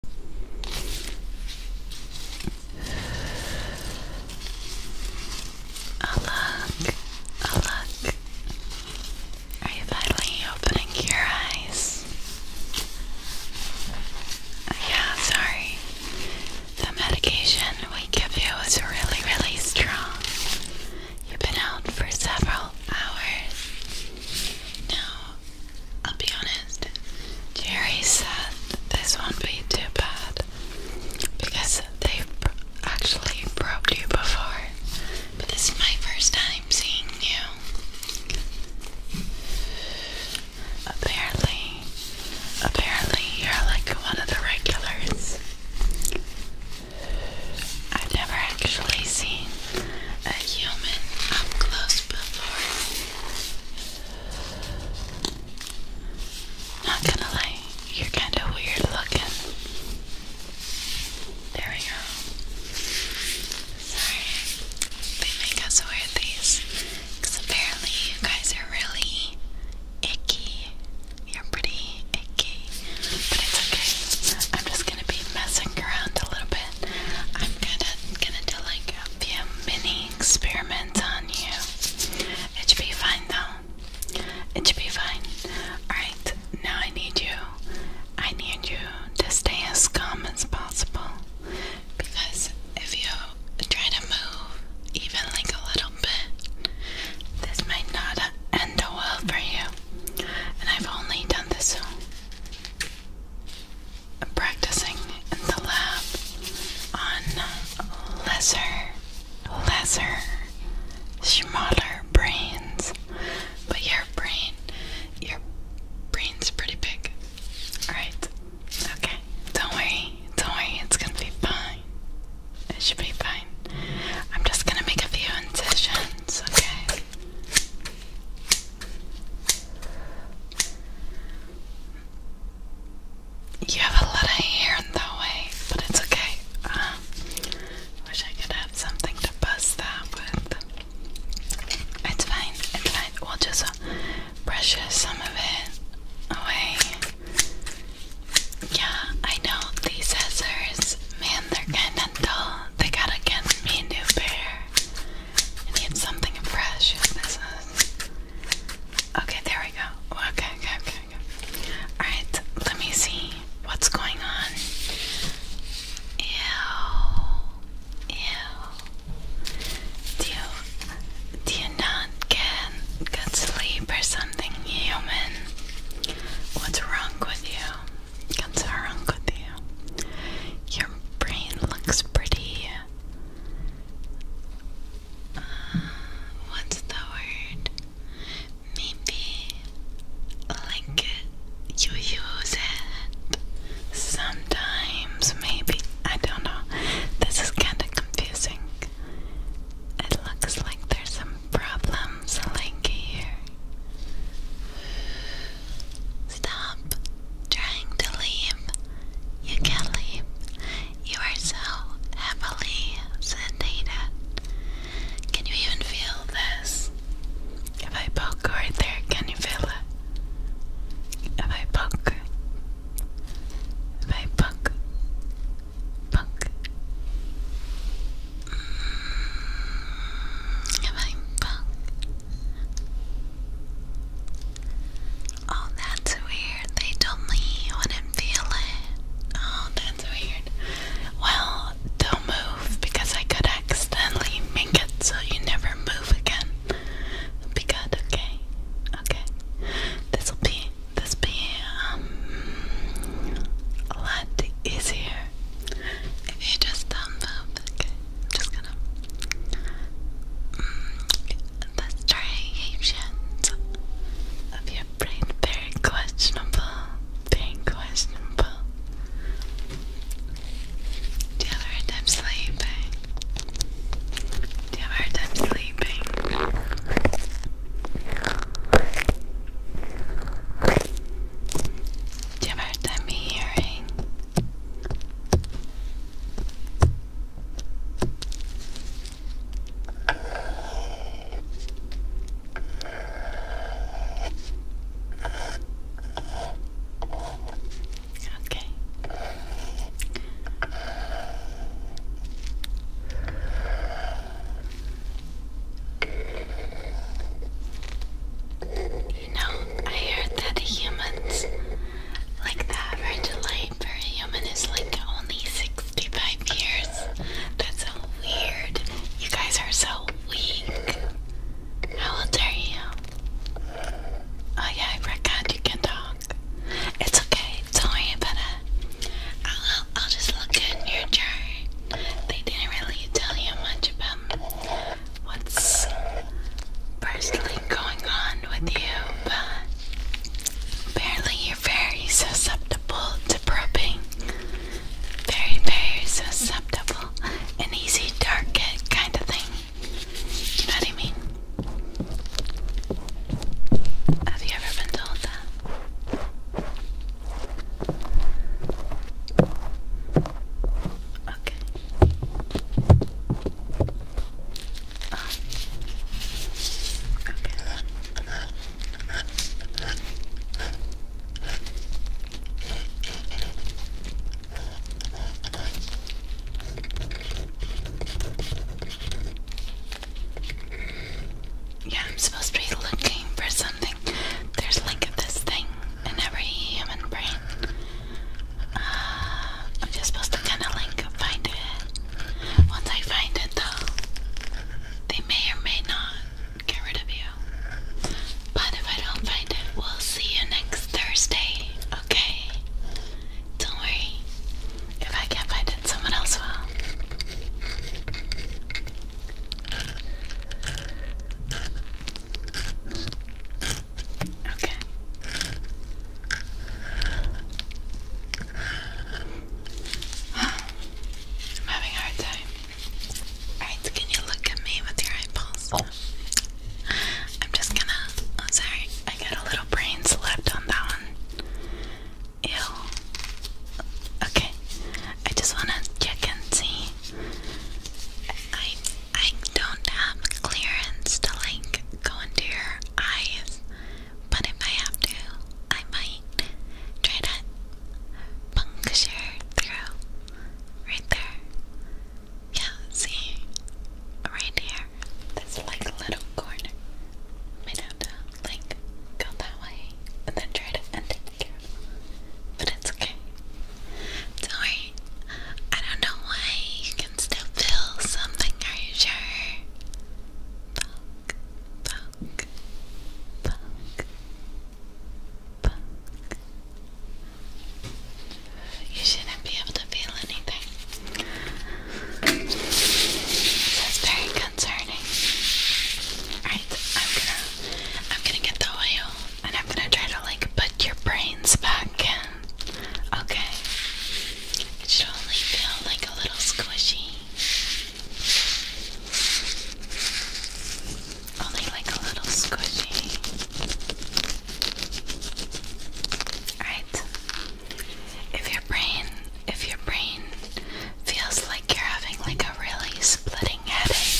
Alak, Alak, are you finally opening your eyes? Yeah, sorry. The medication we give you is really, really strong. You've been out for several hours. No, I'll be honest, Jerry said this won't be too bad because they've actually probed you before, but this is my first time seeing you. Apparently, apparently you're like one of the regulars. I've never actually seen a human up close before. Not gonna lie, you're kind of weird looking. There we go. Sorry, they make us wear these apparently you guys are really icky. You're pretty icky, but it's okay. I'm just gonna be messing around a little bit. I'm gonna gonna do like a few mini experiments on you. It should be fine though. It should be fine. Alright, now I need you. I need you to stay as calm as possible. Because if you try to move even like a little bit, this might not end well for you. And I've only done this practicing in the lab on lesser, lesser, smaller brains. But your brain, your brain's pretty big. Alright? Okay. Don't worry. Don't worry. It's gonna be fine. It should be fine. I'm just gonna make a few incisions, okay? You have a lot of hair in the way, but it's okay. Um, wish I could have something to buzz that with. It's fine, it's fine. We'll just uh, brush some of it away. Yeah, I know these scissors, man, they're kinda dull. They gotta get me a new pair. I need something fresh. This is. Okay, there we go. Okay, okay, okay, okay. Alright, let me see what's going on. Ew. Ew. Do do you not get good sleep or something, human? What's wrong with you? What's wrong with you? Your brain looks pretty what's the word? Maybe like you use it sometimes, maybe. I don't know. This is kind of confusing. It looks like there's some problems like here. Stop trying to leave. You can't leave. You are so heavily sedated. Can you even feel this? If I poke right there, can you feel it? If I poke, if I poke, poke, mm. if I poke, Oh, that's weird. They told me you wouldn't feel it. Oh, that's weird. Well, don't move because I could accidentally make it so you never move again. it okay? Okay. This'll be this be um a lot easier if you just don't move. Okay, just gonna. Mm, the striations of your brain. Very questionable. Very questionable. Do you have a sleeping? Do you have a sleeping? Do you have a hearing? Okay. You know, I heard that humans like the average life for a like only 65 years. That's so weird. You guys are so weak. How old are you? Oh yeah, I forgot you can talk. It's okay, It's not worry about I'll, I'll just look in your chart. They didn't really tell you much about what's personally going on with you, but apparently you're very susceptible to probing. Very, very susceptible. An easy target kind of thing. You know what I mean? Have you ever been told that? Okay. Yeah, I'm supposed to be looking for something. There's like this thing in every human brain. I'm just supposed to kind of like find it. Once I find it, though, they may or may not get rid of you. But if I don't find it, we'll see you next Thursday, okay? Don't worry. If I can't find it, someone else will. Okay. I'm having a hard time. Alright, can you look at me with your eyeballs? Oh. I'm just gonna. Oh, sorry. I got a little brains left on that one. Ew. Okay. I just wanna check and see. I I don't have clearance to like go into your eyes, but if I have to, I might try to puncture through right there. Yeah, see, right here, this like little corner. I might have to like go that way and then try to end it but it's okay. Sorry, I don't know why wants feel something, are you sure? You shouldn't be able to feel anything. That's very concerning. Alright, I'm gonna I'm gonna get the oil and I'm gonna try to like put your brains back in. Okay. It should only feel like a little squishy. Only like a little squishy. Alright. If your brain if your brain feels like you're having like a really splitting headache,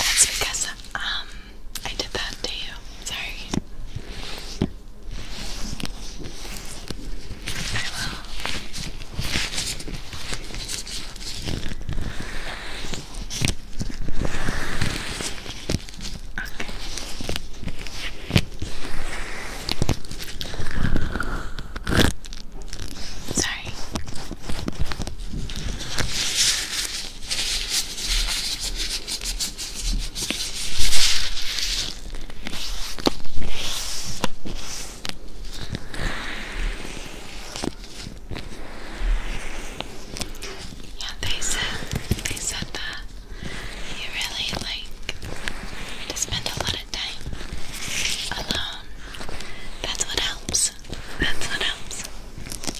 that's because um I did that to you. Sorry. I will. Okay. Sorry. Yeah, they said they said that you really like to spend a lot of time alone. That's what helps. That's what helps.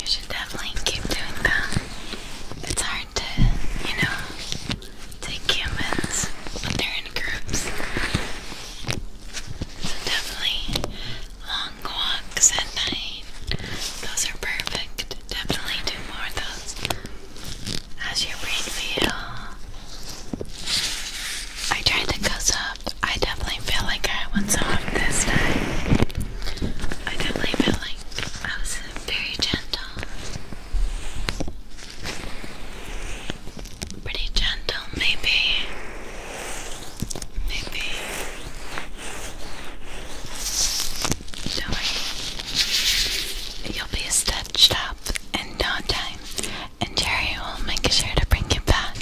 You should definitely keep doing that. It's hard hard to, you know, take humans when they're in groups. So definitely long walks at night. Those are perfect. Definitely do more of those. How's your brain feel? I tried to go soft. I definitely feel like I went soft this time. I definitely feel like I was very gentle. Pretty gentle, maybe. Maybe. Sorry. You'll be stitched up in no and Jerry will make sure to bring you back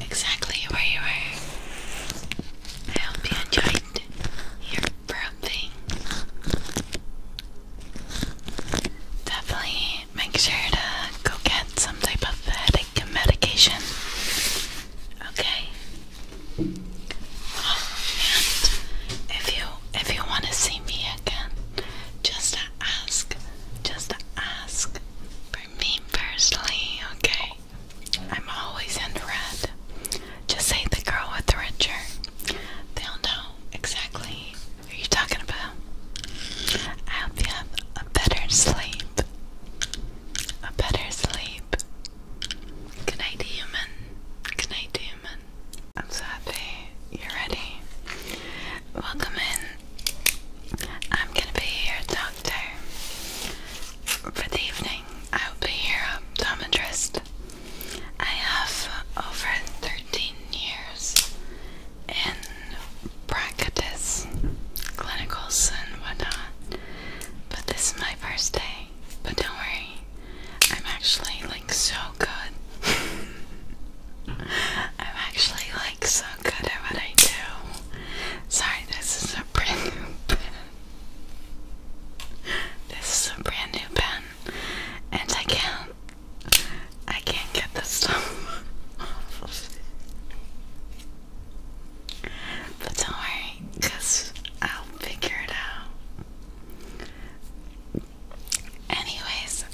exactly where you are. I hope you enjoyed your Definitely make sure to go get some type of headache medication. Okay. Oh, and if you if you want to see me again, just ask, just ask for me personally. Okay. I'm always in red. Just say the girl with the red shirt. They'll know exactly who you're talking about. I hope you have a better sleep. A better sleep. Good night, human. Good night, human. I'm so happy you're ready. Welcome in. I'm gonna be your doctor for the evening. I'll be your optometrist. I have over 13 years in practice, clinicals, and whatnot, but this is my first day. But don't worry, I'm actually like so good. I'm actually like so good at what I do. Sorry, this is a brand new pen. This is a brand new pen and I can't I can't get this stuff but don't worry I'll figure it out anyways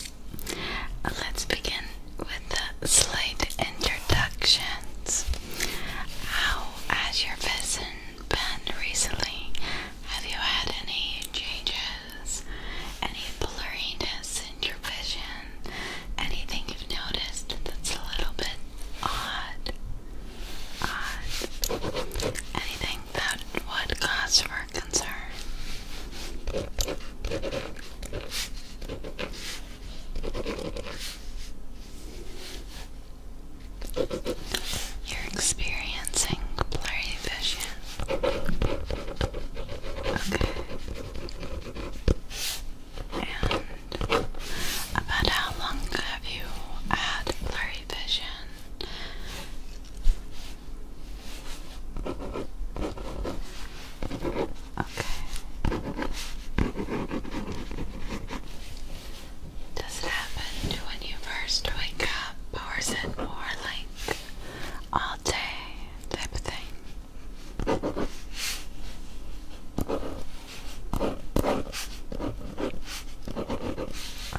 let's begin with the slight introductions how as your vision been recently? Have you had any changes? Any blurriness in your vision? Anything you've noticed that's a little bit odd? Odd? Anything that would cause for concern? You're experiencing blurry vision. Okay. And about how long have you had blurry vision? Okay. Does it happen when you first wake up, or is it more like all day type thing?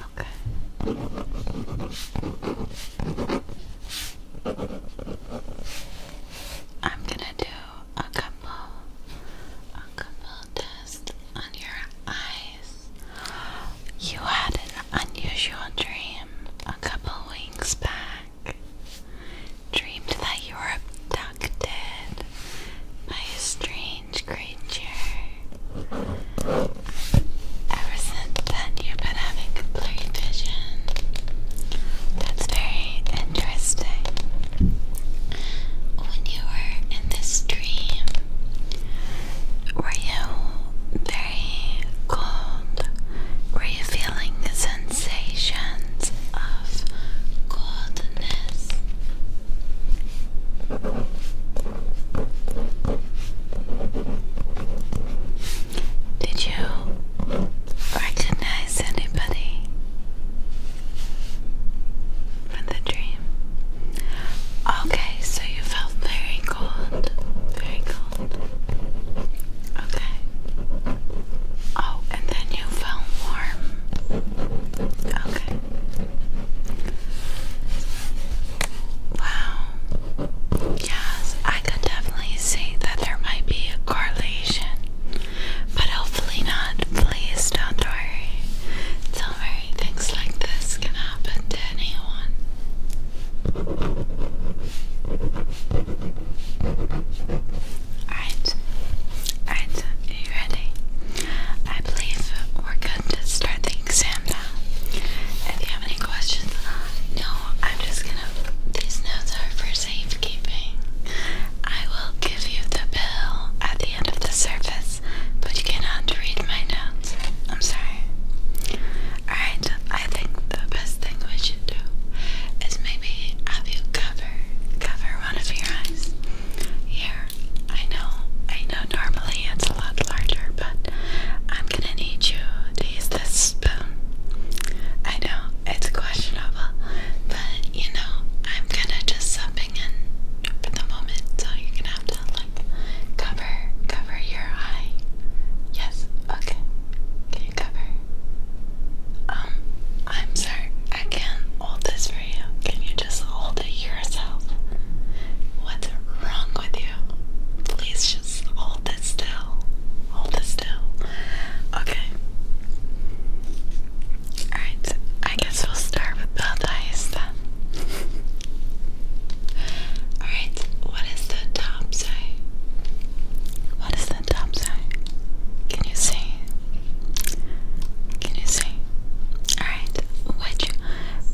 Okay. I'm gonna do a couple, a couple tests on your eye you had an unusual dream a couple weeks back. Dreamed that you were abducted by a strange creature. Ever since then, you've been having blurry vision. That's very interesting. When you were in this dream, were you very cold? Were you feeling the sensations of coldness? Did you recognize anybody? from the dream. Okay, so you felt very cold. Very cold. Okay. Oh, and then you felt warm. Okay. Wow. Yes, I could definitely see that there might be a correlation. But hopefully not. Please don't worry. It's alright things like this can happen to anyone. Alright, alright, you ready? I believe we're good to start the exam now. If you have any questions, no, I'm just gonna, these notes are for safekeeping. I will give you the bill at the end of the service but you cannot read my notes. I'm sorry. Alright, I think the best thing we should do is maybe have you cover cover one of your eyes. Here, I know, I know normally it's a lot larger, but I'm gonna need you to use this spoon. I know, it's questionable, but you know, I'm gonna just subbing in for the moment, so you're gonna like cover cover your eye. Yes, okay. Can you cover? Um, I'm sorry, I can't hold this for you. Can you just hold it yourself? What's wrong with you? Please just hold it still. Hold it still. Okay. Alright, I guess we'll start with both eyes then. Alright, what is the top say? What is the top say? Can you see? Can you see? Alright, which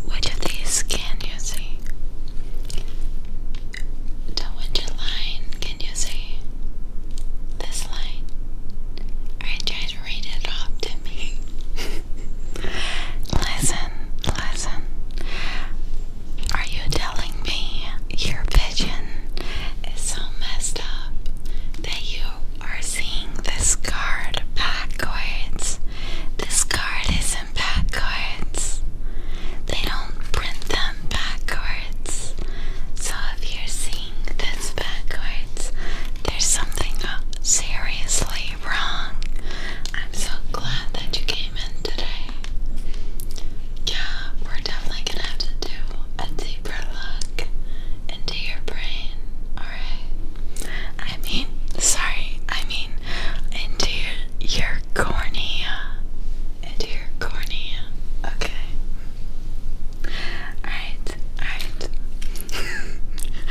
which of these can you see? which line can you see? This line. Alright, try to read it off to me. Listen, Listen, are you telling me your vision is so messed up that you are seeing this card backwards? This card isn't backwards. They don't print them backwards. So if you're seeing this backwards, there's something seriously wrong. I'm so glad that you came in today. Yeah, we're definitely gonna have to do a deeper look into your brain, alright? I mean, sorry, I mean, into your, your cornea. Into your cornea, okay? Alright, alright.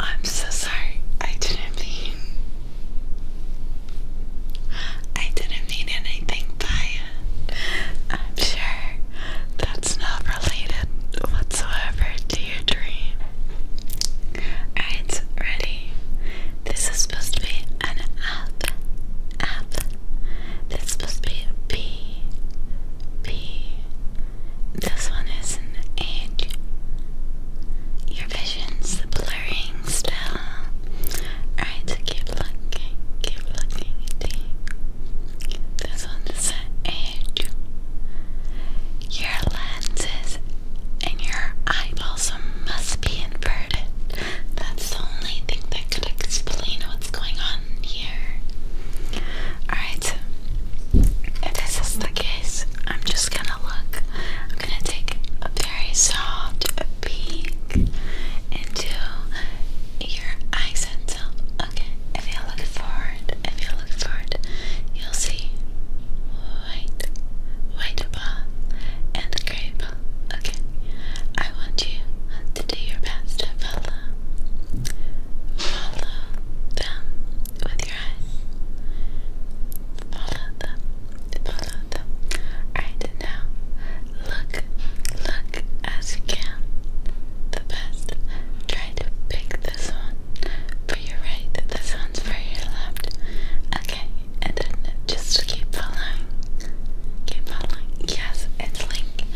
I'm so sorry I didn't mean I didn't mean anything by it. I'm sure that's not related whatsoever to your dream. Alright, ready? This is supposed to be an up, up. This supposed to be a B, B. This one is an H vision's the blurring spell. Alright, so keep looking, keep looking this one's an edge. Your lenses and your eyeballs must be inverted. That's the only thing that could explain what's going on here. Alright, if this is the case, I'm just gonna look I'm gonna take a very soft peek into your eye center. Okay, if you look forward, if you look forward, you'll see white, white ball, and gray ball. Okay, I want you to do your best to follow, follow them with your eyes. Follow them. Follow them. Alright, now look, look as you can. The best. Try to pick this one for your right, this one's for your left. Okay, and then just keep following. Keep following. Yes, it's like,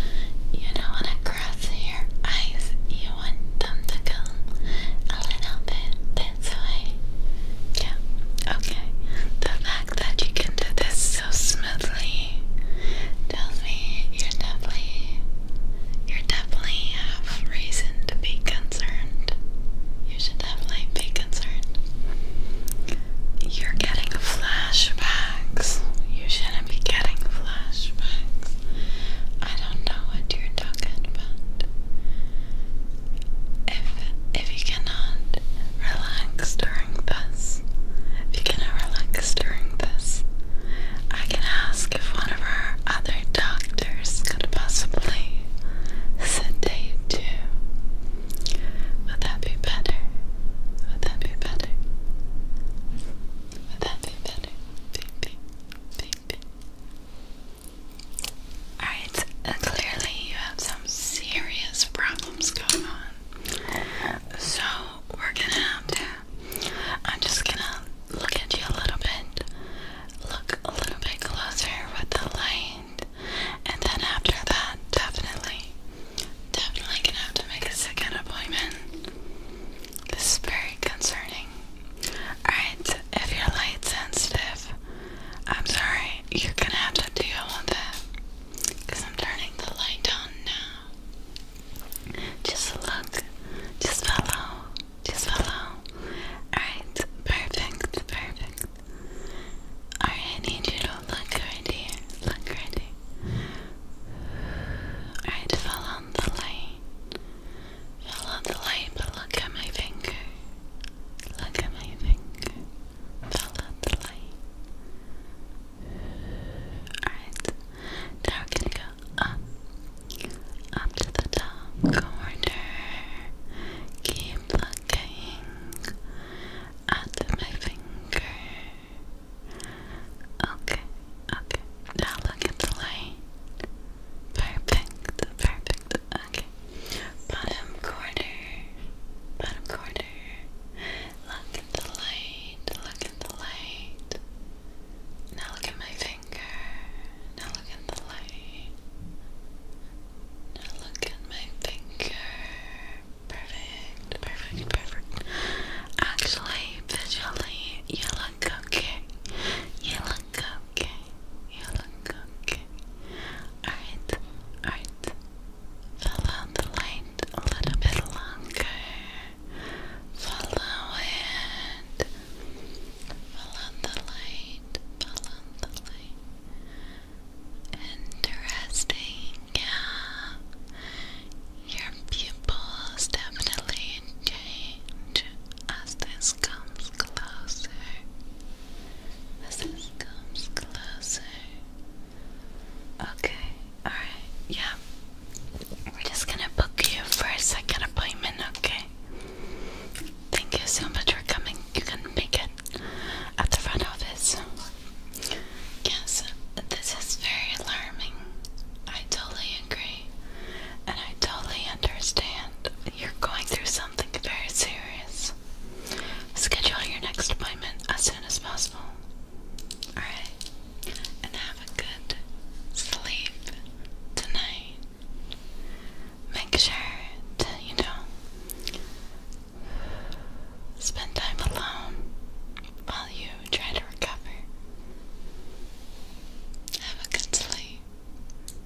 you know, when your eyes, you want them to come a little bit this way. Yeah, okay. The fact that you can do this so smoothly tells me you're definitely, you definitely have reason to be concerned. You should definitely be concerned. You're getting flashbacks. You shouldn't be getting flashbacks I don't know what you're talking about. If if you cannot relax during this, if you cannot relax during this, I can ask if one of our other doctors could possibly sedate you. Would that be better? Would that be better? Would that be better? Beep, beep, beep, beep. Alright, uh, clearly you have some serious problems going on. So, we're gonna have to. I'm just gonna look at you a little bit, look a little bit closer with the light, and then after that, definitely, definitely gonna have to make a second appointment. This is very concerning. Alright, if you're light sensitive, I'm sorry, you're gonna have to deal with it. Because I'm turning the light on now. Just look, just follow, just follow. Alright, perfect, perfect. Alright, need you to look right here, look right here. Alright, follow the light. I love the light, but look at my finger. Look at my finger. Follow the light. Alright. Now we're gonna go up. Up to the top corner. Keep looking at my finger. Okay, okay. Now look at the light. Perfect, perfect. Okay. Bottom corner, bottom corner. Look at the light, look at the light. Now look at my finger. Now look at the light. Now look at my finger. Perfect, perfect, perfect. Actually, visually, you look okay. You okay. You look okay. Alright, alright. Follow the light a little bit longer. Follow it. Follow the light. Follow the light. Interesting, yeah. Your pupils definitely change as this comes closer. this comes closer. Okay, alright, yeah. We're just gonna book you for a second appointment, okay? Thank you so much for coming. You can make it at the front office. Yes, this is very alarming. I totally agree. And I totally understand. You're going through something something very serious. Schedule your next appointment as soon as possible. Alright? And have a good sleep tonight. Make sure to, you know, spend time alone while you try to recover. Have a good sleep.